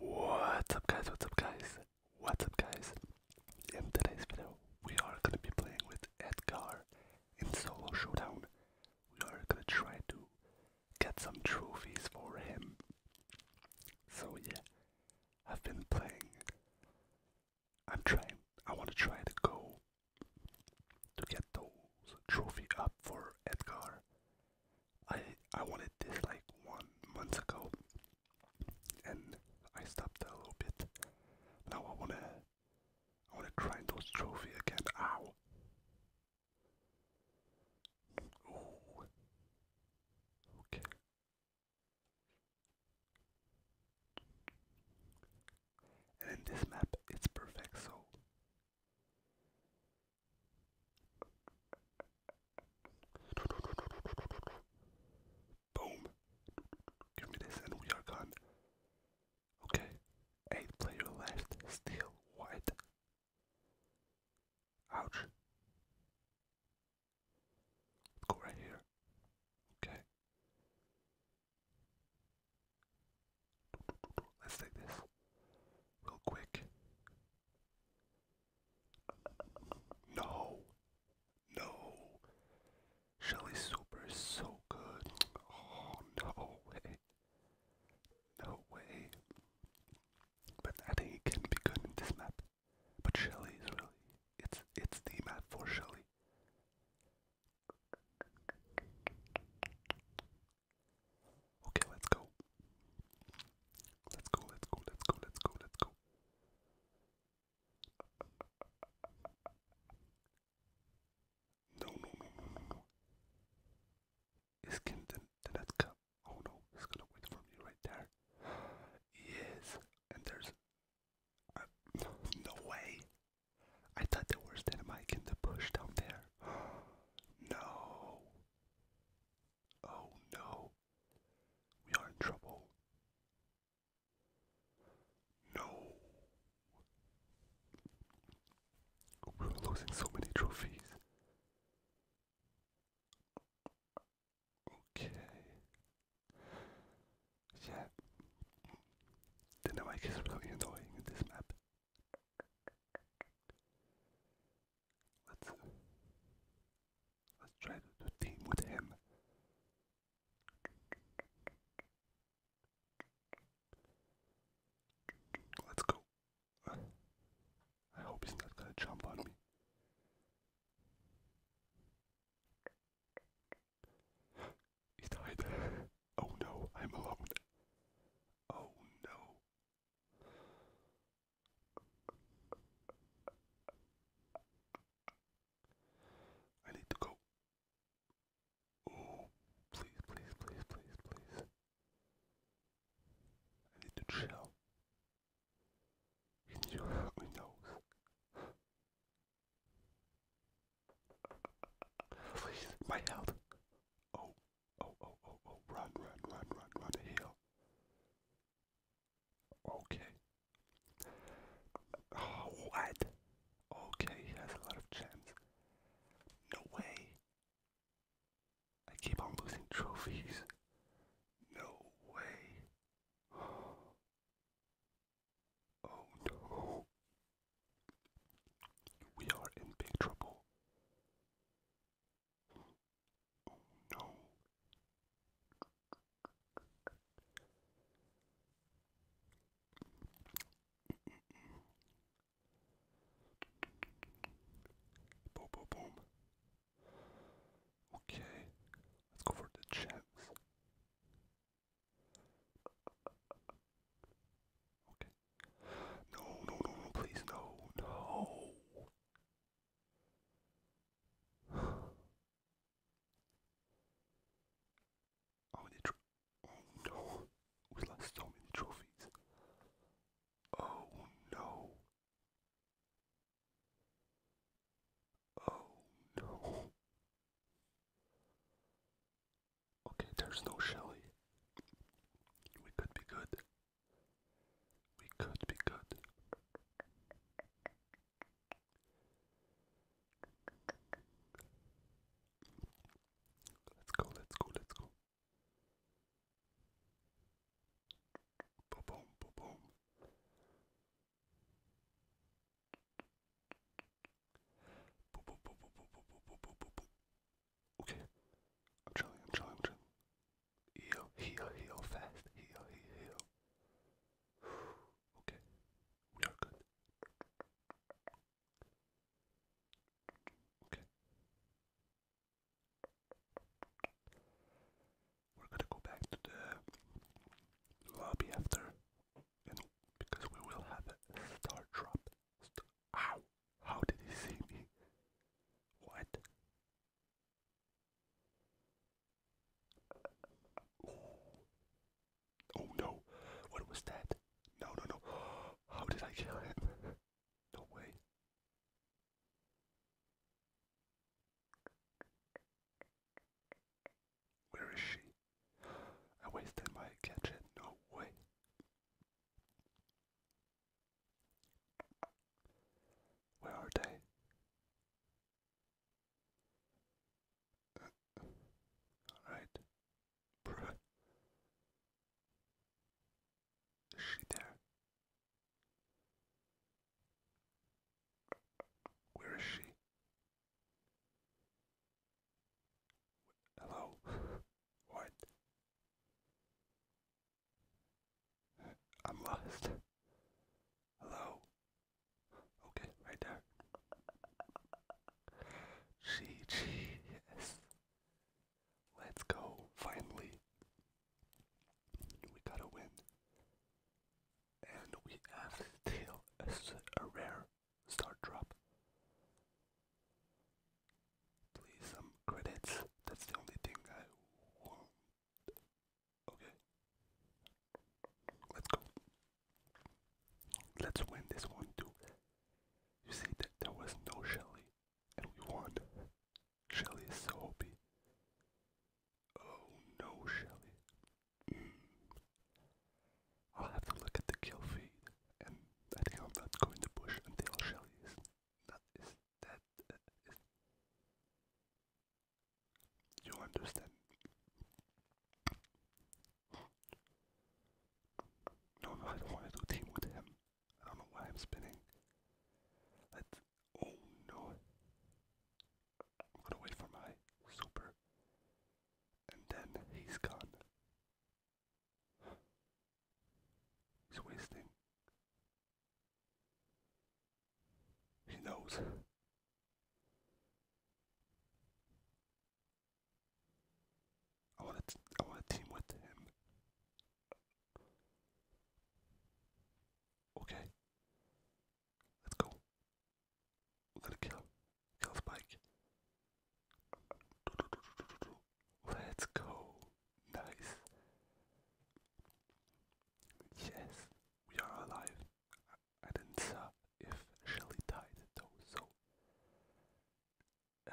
What's up guys, what's up guys, what's up guys? In today's video, we are gonna be playing with Edgar in solo showdown. We are gonna try to get some trophies for him. So yeah, I've been playing. I'm trying, I wanna try to go to get those trophy up for Edgar. I I wanted this like one month ago, and I stopped a little bit. Now I wanna I wanna grind those trophy again. Ow! Okay. And in this map, it's perfect. So Boom. Give me this and we are gone. Okay. Eight player left. Still white. Ouch. Let's go right here. Okay. Let's take this real quick. No, no. Shelly Super is so good. Oh, no way. No way. But I think he can be good in this map. But Shelly is really, it's, it's the map for Shelly. Okay, let's go. Let's go, let's go, let's go, let's go, No, no, no, no, no, no. Is Kim Danetka? Oh no, he's gonna wait for me right there. Yes, and there's uh, no way. I thought there was dynamite in the bush down there. No. Oh no. We are in trouble. No. We're losing so many trophies. Okay. Yeah. The mic is really annoying in this map. Let's, let's try to, to team with him. Let's go. I hope he's not gonna jump on me. He died. oh no, I'm alone. Oh no. I need to go. Oh, please, please, please, please, please. I need to chill. Can you help Please, my health. Oh, oh, oh, oh, oh, run, run, run, run, run, heal. Okay. Oh, what? Okay, he has a lot of gems. No way. I keep on losing trophies. No way. Oh no. We are in big trouble. Oh no. Boom, boom, boom. Okay, let's go for the gems. Okay. No, no, no, please, no, no. Oh, oh no, we lost so many trophies. Oh no. Oh no. Okay, there's no Shelly. We could be good. We could be good. Let's go, let's go, let's go. boom, boom, boom. Okay. I'm chilling, I'm chilling, I'm chilling. Heal, heal, heal fast. Heal, heal, heal. Okay. We are good. Okay we're gonna go back to the lobby after, because we will have a star drop. St How did he see me? What? Oh, oh no! What was that? No, no, no! How did I kill him? no way! Where is she? I wasted my catch gadget, no way. Where are they? Alright. Is she there? Where is she? Hello? what? I'm lost. Hello? Okay, right there. She, she, yes. Let's go, finally. We gotta win. And we have still a, rare star drop. Please, some credits. That's the only thing I want. Okay. Let's go. Let's win this one too. You see that there was no Shelly, and we won. Shelly is so happy. Oh no, Shelly. Mm. I'll have to look at the kill feed, and I am not going to push until Shelly is not is dead. Uh, you understand? No, I don't want to do team with him. I don't know why I'm spinning. Oh no. I'm gonna wait for my super. And then he's gone. He's wasting. He knows. I want to. I want to team with him. Okay. Let's go. We're gonna kill Kill the bike. Let's go. Nice. Yes, we are alive. I didn't saw if Shelly died though, so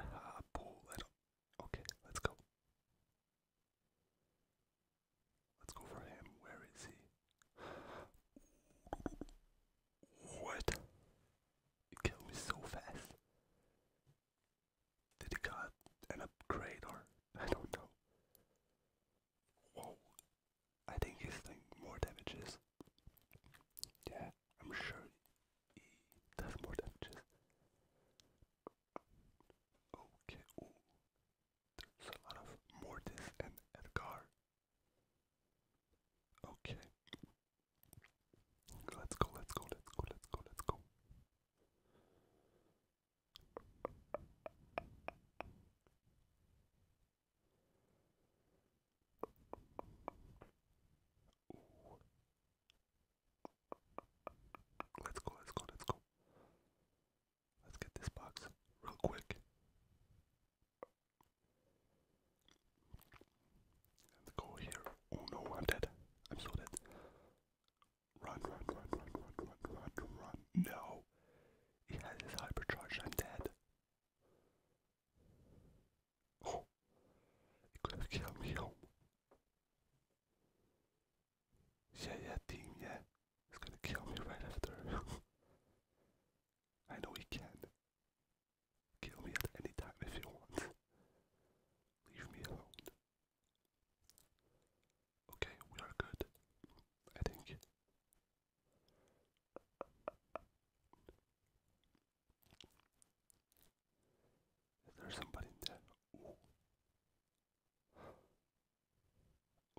ah, uh, bull. Okay, let's go. Let's go for him. Where is he? What? It killed me so fast. Did he got an upgrade or I don't know. Whoa. I think he's doing more damages. Yeah, I'm sure he does more damages. Okay, There's a lot of Mortis and Edgar. Okay. Let's go, let's go, let's go, let's go, let's go. Let's go, let's go, let's go. Let's get this box real quick. Let's go here. Oh no, I'm dead. I'm so dead. Run, run, run, run, run, run, run, run. No. He has his hypercharge. I'm dead. Oh, he could have killed me Yeah, yeah, team, yeah. He's gonna kill me right after. I know he can. Kill me at any time if he wants. Leave me alone. Okay, we are good. I think. Is there somebody in there?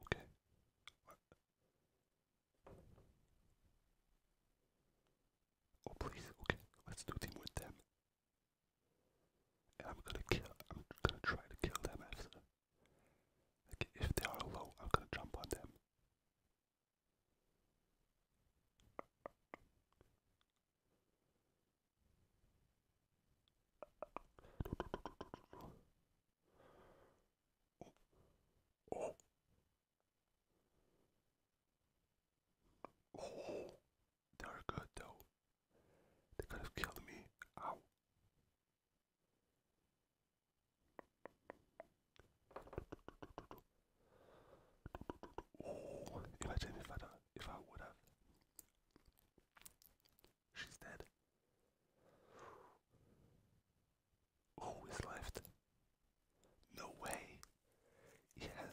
Okay. Oh please, okay, let's do team with them. And I'm gonna kill I'm gonna try to kill them after. Like if they are low, I'm gonna jump on them. Oh. Oh, they are good though. They could have killed me. Ow. Oh, imagine if I don't, if I would have. She's dead. Oh, left. No way. Yeah.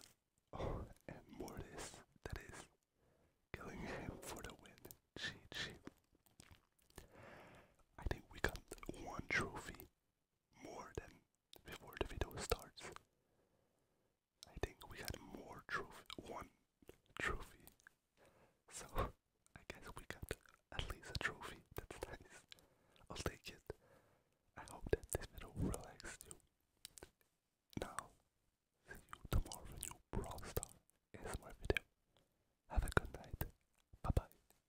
Oh, and Mortis, that is killing him for the win. She, she. I think we got one trophy more than before the video starts. I think we had more trophy, one trophy. So I guess we got at least a trophy. That's nice. I'll take it. I hope that this video relaxed you. Now, see you tomorrow new Brawl Star ASMR video. Have a good night. Bye bye.